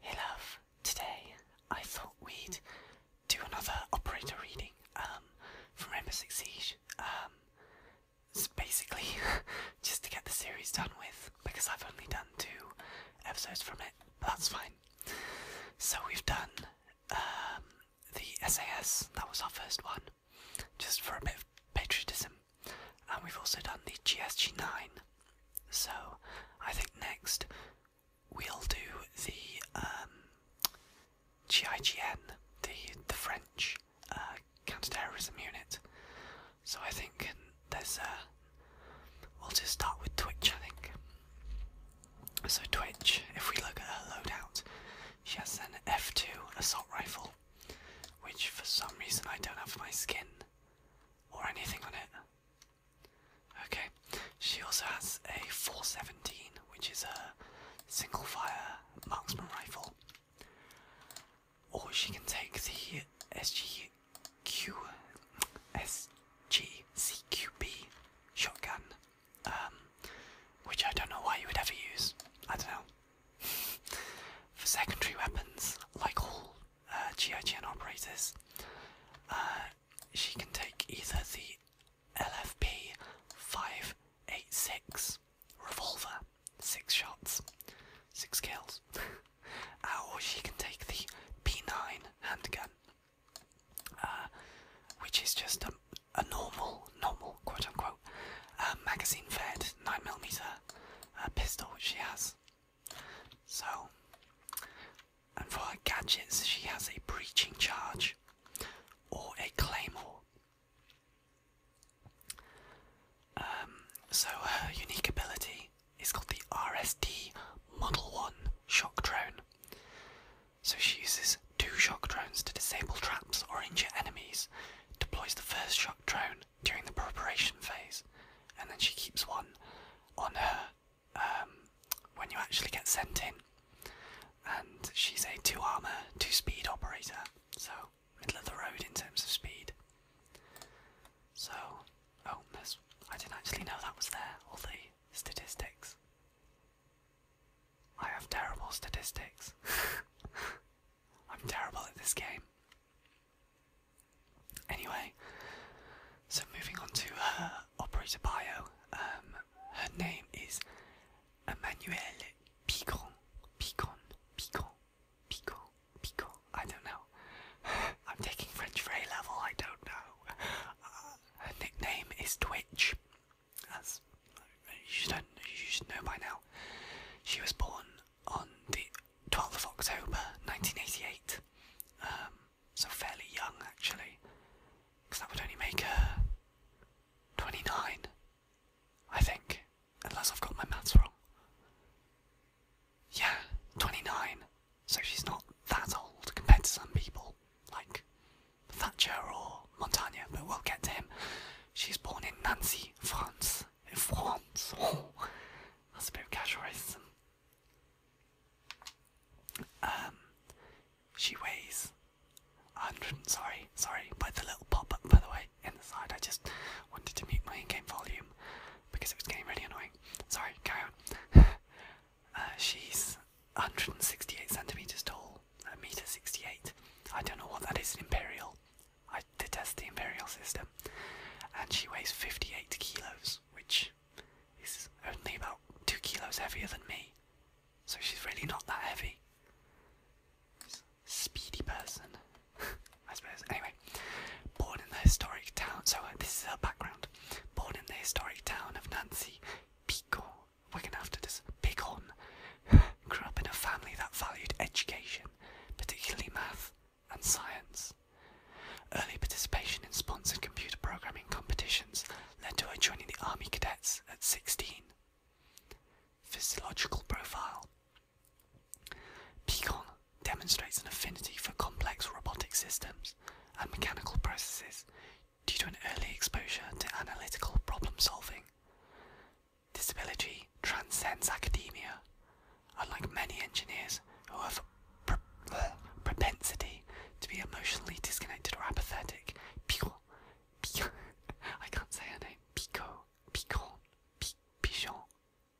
Hey love, today I thought we'd do another operator reading um, from Rainbow Six Siege. Um, basically, just to get the series done with, because I've only done two episodes from it, but that's fine. So we've done um, the SAS, that was our first one, just for a bit of patriotism, and we've also done the GSG 9 so, I think next we'll do the um, GIGN, the the French uh, counter-terrorism unit. So I think there's a. Uh, we'll just start with Twitch. I think. So Twitch, if we look at her loadout, she has an F2 assault rifle, which for some reason I don't have my skin or anything on it. Okay, she also has a 417, which is a single fire marksman rifle. Or she can take the SGQ, SGCQB shotgun, um, which I don't know why you would ever use. I don't know. For secondary weapons, like all uh, GI Gen operators. Uh, she can take either the LFP 586 revolver, six shots, six kills, uh, or she can take the P9 handgun, uh, which is just a, a normal, normal quote unquote magazine fed 9mm pistol, which she has. So, and for her gadgets, she has a breaching charge or a claymore. Um, so, her unique ability is called the RSD Model 1 Shock Drone. So, she uses two shock drones to disable traps or injure enemies, deploys the first shock drone during the preparation phase, and then she keeps one on her um, when you actually get sent in. And she's a two armor, two speed operator, so middle of the road in terms of speed. So, oh, that's, I didn't actually know that was there, all the statistics. I have terrible statistics. I'm terrible at this game. Anyway, so moving on to her uh, operator bio. Um, her name is Emmanuelle Picon. Picon, Picon, Picon, Picon. I don't know. I'm taking French for A level, I don't know. Uh, her nickname is Twitch. As you should know by now. She was born on the 12th of October 1988. Um, so fairly young actually, because that would only make her 29, I think, unless I've got my maths wrong. Yeah, 29. So she's not that old compared to some people, like Thatcher or Montaigne, but we'll get to him. She's born in Nancy, France, in France. that's a bit of casual Um, she weighs 100. Sorry, sorry. By the little pop up, by the way, in the side. I just wanted to mute my in-game volume because it was getting really annoying. Sorry, carry uh, she's 168 centimeters tall, a meter 68. I don't know what that is in imperial. I detest the imperial system. And she weighs 58 kilos, which is only about 2 kilos heavier than me. So she's really not that heavy. Speedy person, I suppose. Anyway, born in the historic town, so uh, this is her background. Born in the historic town of Nancy, Picorn. We're gonna have to just Picorn. Grew up in a family that valued education particularly math and science. Early participation in sponsored computer programming competitions led to her joining the Army Cadets at 16. Physiological profile Picon demonstrates an affinity for complex robotic systems and mechanical processes due to an early exposure to analytical problem solving. Disability transcends academia, unlike many engineers who have a propensity to be emotionally disconnected or apathetic. Pico, Pico, I can't say her name. Pico, Picon, Pichon,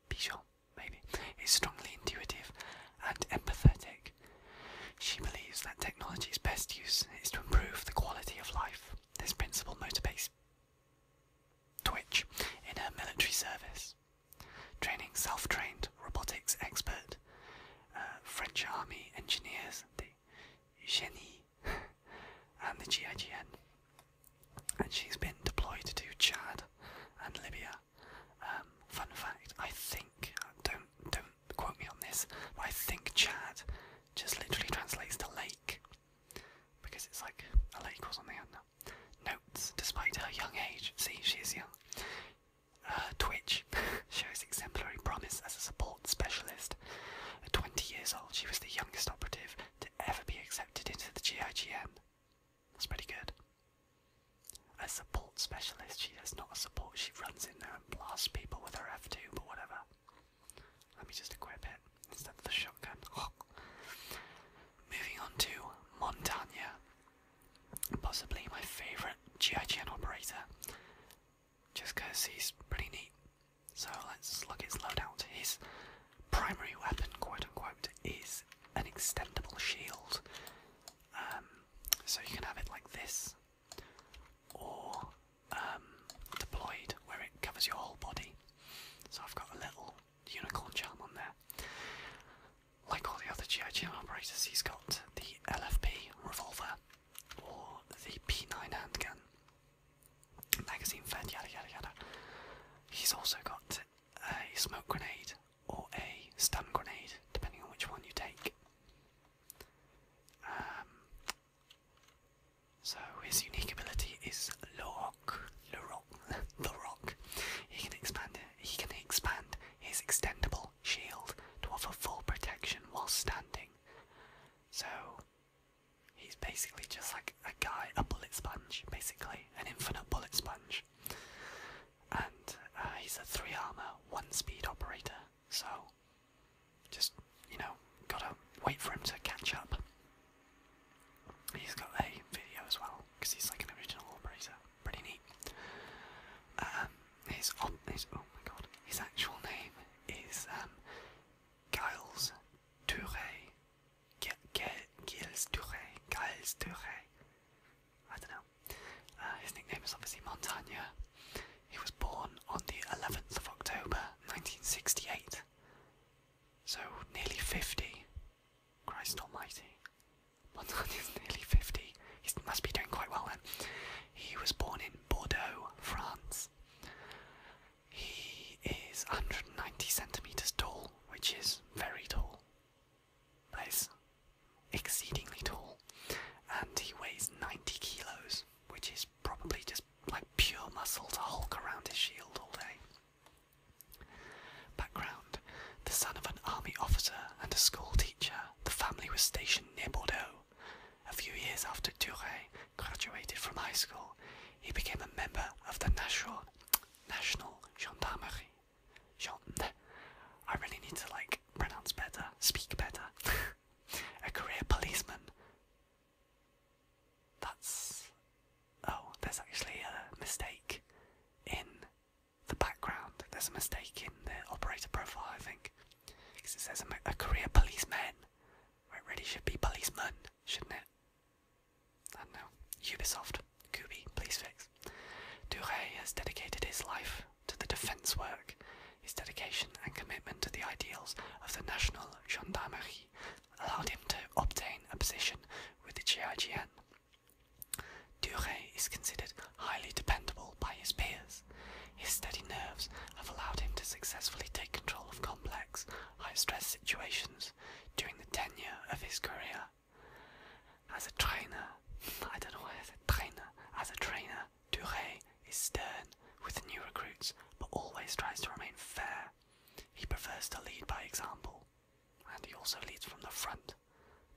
Pichon, maybe, is strongly intuitive and empathetic. She believes that technology's best use is to improve the quality of life. This principle motivates Twitch in her military service, training self trained robotics expert, uh, French Army engineers, the Genie, and the GIGN. And she's been deployed to Chad and Libya. Um, fun fact, I think, don't, don't quote me on this, but I think Chad just literally translates to lake. Because it's like a lake or something, I don't know. Notes, despite her young age, see, she is young. Uh, Twitch shows exemplary promise as a support specialist. At 20 years old, she was the youngest operative to ever be accepted into the GIGN. That's pretty good. As A support specialist, she is not a support, she runs in there and blasts people with her F2, but whatever. Let me just equip it instead of the shotgun. Moving on to Montagna, possibly my favourite GIGN operator, just because he's pretty neat. So let's look at his loadout. His primary weapon, quote unquote, is an extendable shield. Um, so you can have it like this, or um, deployed, where it covers your whole body. So I've got a little unicorn charm on there. Like all the other GI operators, he's got the LFP revolver or the P9 handgun, magazine fed, yada yada yada. He's also got a smoke grenade or a stun grenade, depending on which one you take. Um, so his unique ability is Lock, Lock, the Rock. He can expand He can expand his extendable shield to offer full protection while standing. So he's basically just like a guy, a bullet sponge, basically an infinite bullet sponge. And uh, he's a three armor, one speed operator. So, just, you know, gotta wait for him to catch up. He's got a video as well, because he's like an original operator. Pretty neat. Um, his, op his, oh my god, his actual name is um, Giles Touré. Giles Touré. Giles Touré. I don't know. Uh, his nickname is obviously Montagne. He was born on the 11th of October 1968. So nearly 50. Christ almighty. Montaigne is nearly 50. He must be doing quite well then. He was born in Bordeaux, France. He is 190 centimetres tall, which is very tall. That is exceedingly tall. And he weighs 90 kilos, which is probably just like pure muscle to hulk around his shield all day. Background The son of an army officer and a school the family was stationed near Bordeaux. A few years after Duret graduated from high school, he became a member of the National, National Gendarmerie. I really need to like pronounce better, speak better. A career policeman. That's. Oh, there's actually a mistake in the background. There's a mistake in the operator profile, I think. Because it says a, career policeman. Where it really should be policeman, shouldn't it? I don't know. Ubisoft, Kubi, please fix. Duray has dedicated his life to the defence work, his dedication and commitment to the ideals of the National Gendarmerie allowed him to obtain a position with the GIGN. Duret is considered highly dependable by his peers. His steady nerves have allowed him to successfully take control of complex, high stress situations during the tenure of his career. As a trainer, I don't know why I said trainer, as a trainer, Duray is stern with new recruits but always tries to remain fair. He prefers to lead by example, and he also leads from the front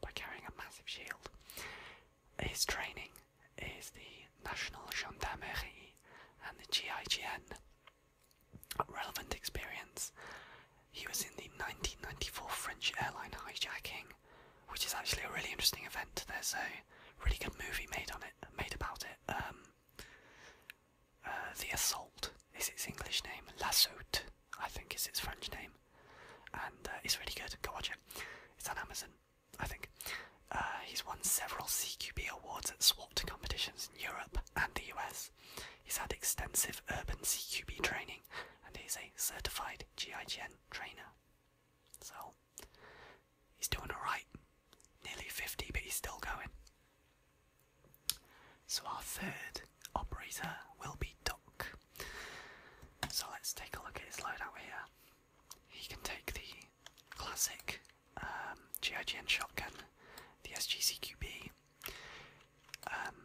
by carrying a massive shield. His training is the National Gendarmerie and the GIGN. Relevant experience. He was in the 1994 French airline hijacking, which is actually a really interesting event. There's a really good movie made on it, made about it. Um, uh, the Assault is its English name. L'Assaut, I think, is its French name, and uh, it's really good. Go watch it. It's on Amazon, I think. Uh, he's won several CQB awards at SWAT competitions in Europe and the US. He's had extensive urban CQB training, and he's a certified GIGN trainer. So He's doing alright. Nearly 50, but he's still going. So, our third operator will be Duck. So, let's take a look at his loadout here. He can take the classic um, GIGN shotgun, the SGCQB, um,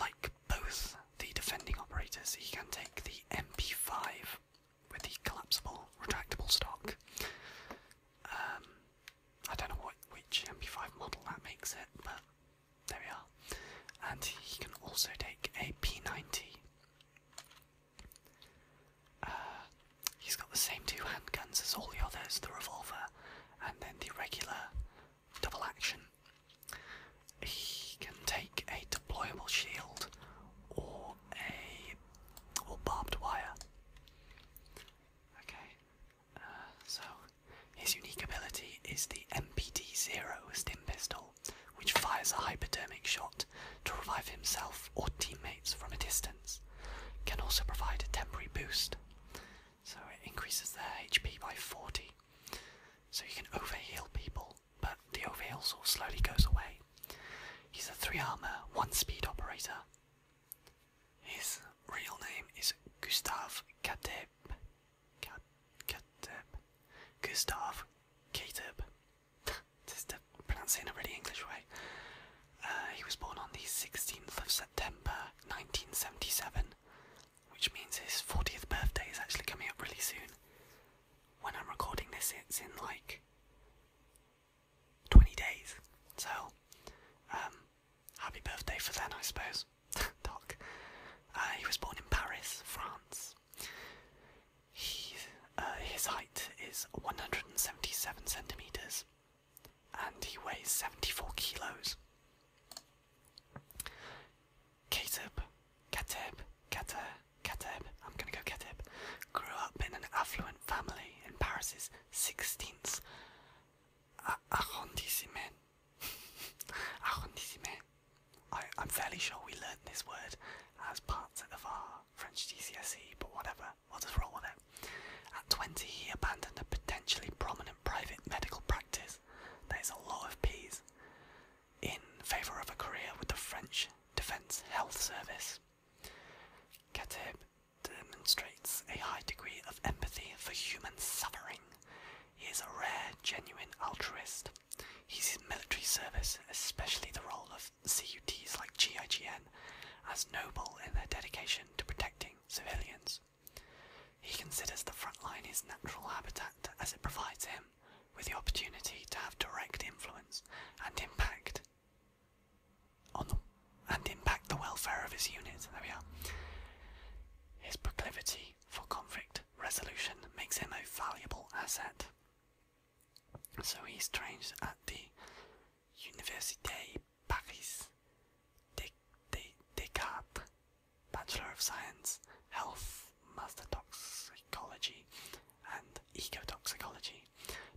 like both the defending operators, he can take the MP5 with the collapsible retractable stock. Um, I don't know what which MP5 model that makes it, but there we are. And he can also take a P90. Uh, he's got the same two handguns as all the others, the revolver and then the regular double action. He can take a deployable shield or a or barbed wire. Okay, uh, so his unique ability is the MPD Zero Stim Pistol, which fires a hypodermic shot to revive himself or teammates from a distance. Can also provide a temporary boost, so it increases their HP by 40 so you can over heal people, but the over heal of slowly goes away. He's a 3 armor, 1 speed operator. His real name is Gustave Kateb. Kateb. Gustav Kateb. Just pronouncing it in a really English way. Uh, he was born on the 16th of September 1977 which means his 40th birthday is actually coming up really soon. When I'm recording this, it's in like 20 days. So, um, happy birthday for then, I suppose. Doc. Uh, he was born in Paris, France. He, uh, his height is 177 centimeters, and he weighs 74 kilos. Kateb, Kateb, Kateb, Kateb, I'm gonna go Kateb, grew up in an affluent family in Paris's 16th arrondissement. arrondissement. I, am fairly sure we learned this word as part of our French GCSE, but whatever, we'll just roll with it. At 20, he abandoned a potentially prominent private medical practice there is a lot of P's in favour of a career with the French Defence Health Service. Kateb demonstrates a high degree of empathy for human suffering. He is a rare, genuine altruist. He sees military service, especially the role of CUTs like GIGN, as noble in their dedication to protecting civilians. He considers the front line his natural habitat as it provides him with the opportunity to have direct influence and impact on the, and impact the welfare of his unit. His proclivity for conflict resolution makes him a valuable asset. So he's trained at the Université Paris Descartes Bachelor of Science, Health, Master Toxicology, and Ecotoxicology,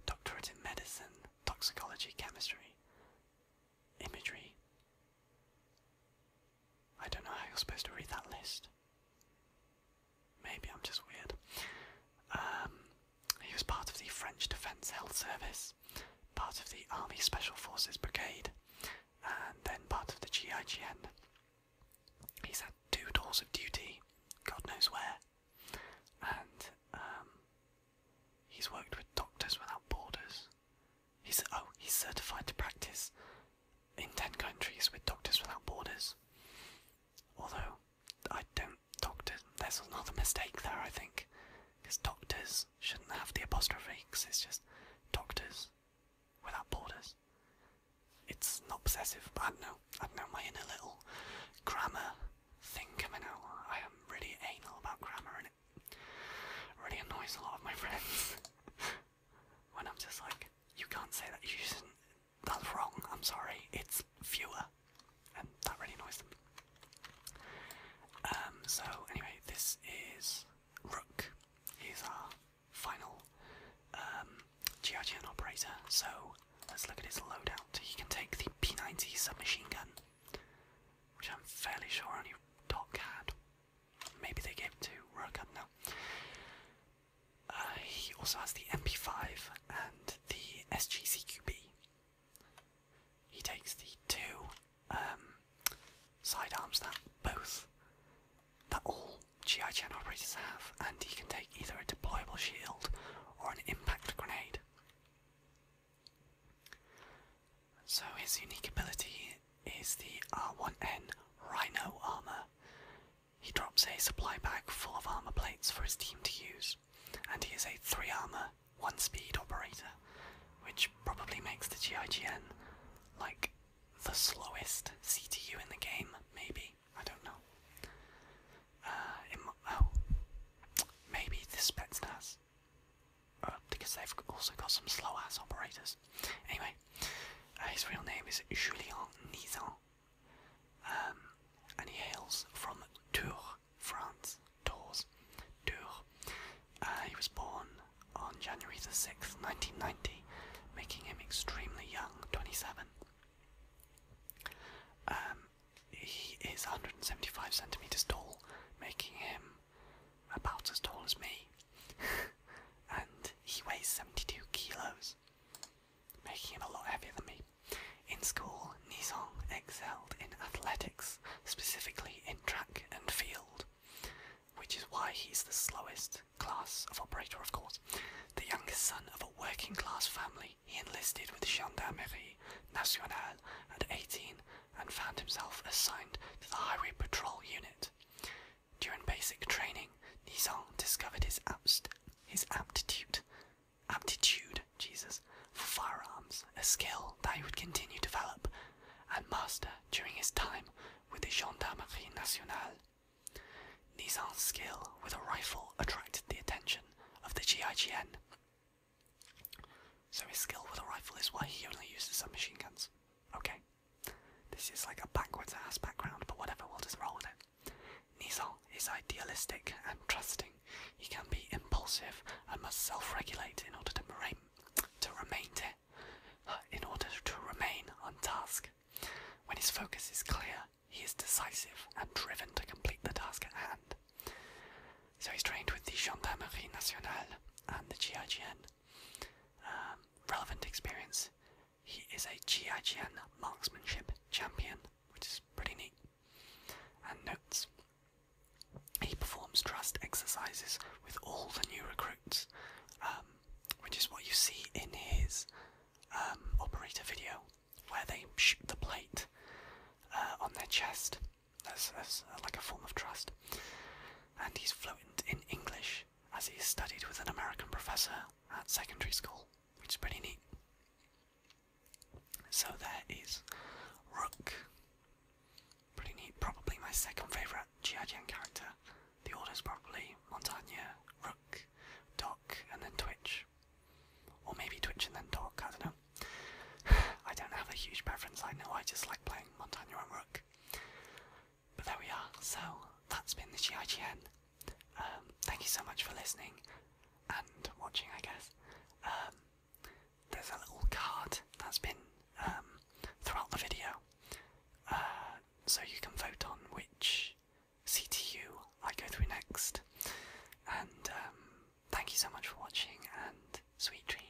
Doctorate in Medicine, Toxicology, Chemistry, Imagery. I don't know how you're supposed to read that list. Maybe I'm just weird. Um, he was part of the French Defence Health Service part of the Army Special Forces Brigade, and then part of the GIGN. He's had two tours of duty, God knows where, and um, he's worked with Doctors Without Borders. He's oh, he's certified to practice in ten countries with Doctors Without Borders. Although I don't doctor, there's another mistake there. I think because doctors doctors shouldn't have the apostrophes. it's just doctors without borders. It's not possessive, but I know. I know my inner little grammar thing coming out. I am really anal about grammar, and it really annoys a lot of my friends when I'm just like, "You can't say that. You shouldn't. That's wrong. I'm sorry. It's fewer," and that really annoys them. Um, so anyway, this is Rook. He's our final um, operator. So let's look at his loadout. He can take the P90 submachine gun, which I'm fairly sure only Doc had. Maybe they gave it to Rook. I do uh, he also has the MP5 and the SGCQB, he takes the two um, sidearms that both that all GI Gen operators have, and he can take either a deployable shield or an impact grenade. So his unique ability is the R1N Rhino armor. He drops a supply bag full of armor plates for his team to use, and he is a 3 armor one-speed operator, which probably makes the GIGN like the slowest CTU in the game. Maybe I don't know. Uh, oh, maybe this Spetsnaz, uh, because they've also got some slow-ass operators. Anyway, uh, his real name is Julian Nizan, um, and he hails from Tours France, Tours, Tours. Uh, he was born on January the 6th, 1990, making him extremely young, 27. Um, he is 175 centimeters tall, making him about as tall as me. and he weighs 72 kilos, making him a lot heavier than me. In school, Nizong excelled in athletics, specifically in track and field, which is why he's the slowest class of operator, of course. The youngest son of a working class family, he enlisted with Gendarmerie Nationale at 18 and found himself assigned to the Highway Patrol Unit. During basic training, Nizong discovered his aptitude aptitude, Jesus, for firearms, a skill that he would continue to develop and master during his time with the Gendarmerie Nationale. Nizan's skill with a rifle attracted the attention of the GIGN. So his skill with a rifle is why he only uses submachine guns. Okay. This is like a backwards ass background, but whatever, we'll just roll with it. Nizan is idealistic and trusting. He can be impulsive and must self-regulate in order to remain to remain uh, in order to remain on task. When his focus is clear, he is decisive and driven to complete the task at hand. So he's trained with the Gendarmerie Nationale and the GIGN. Um, relevant experience. He is a GIGN marksmanship champion, which is pretty neat. And notes he performs trust exercises with all the new recruits, um, which is what you see in his um, operator video, where they shoot the plate uh, on their chest as, uh, like a form of trust. And he's fluent in English, as he studied with an American professor at secondary school, which is pretty neat. So there is Rook. Pretty neat. Probably my second favourite G.I. character. The order's probably Montagne, Rook, Doc, and then Twitch. Or maybe Twitch and then Doc, I don't know. I don't have a huge preference, I know I just like playing Montagne and Rook. But there we are, so that's been the GIGN. Um, thank you so much for listening and watching, I guess. Um, there's a little card that's been um, throughout the video, uh, so you can vote on which CTU I go through next. And um, thank you so much for watching, and sweet dreams.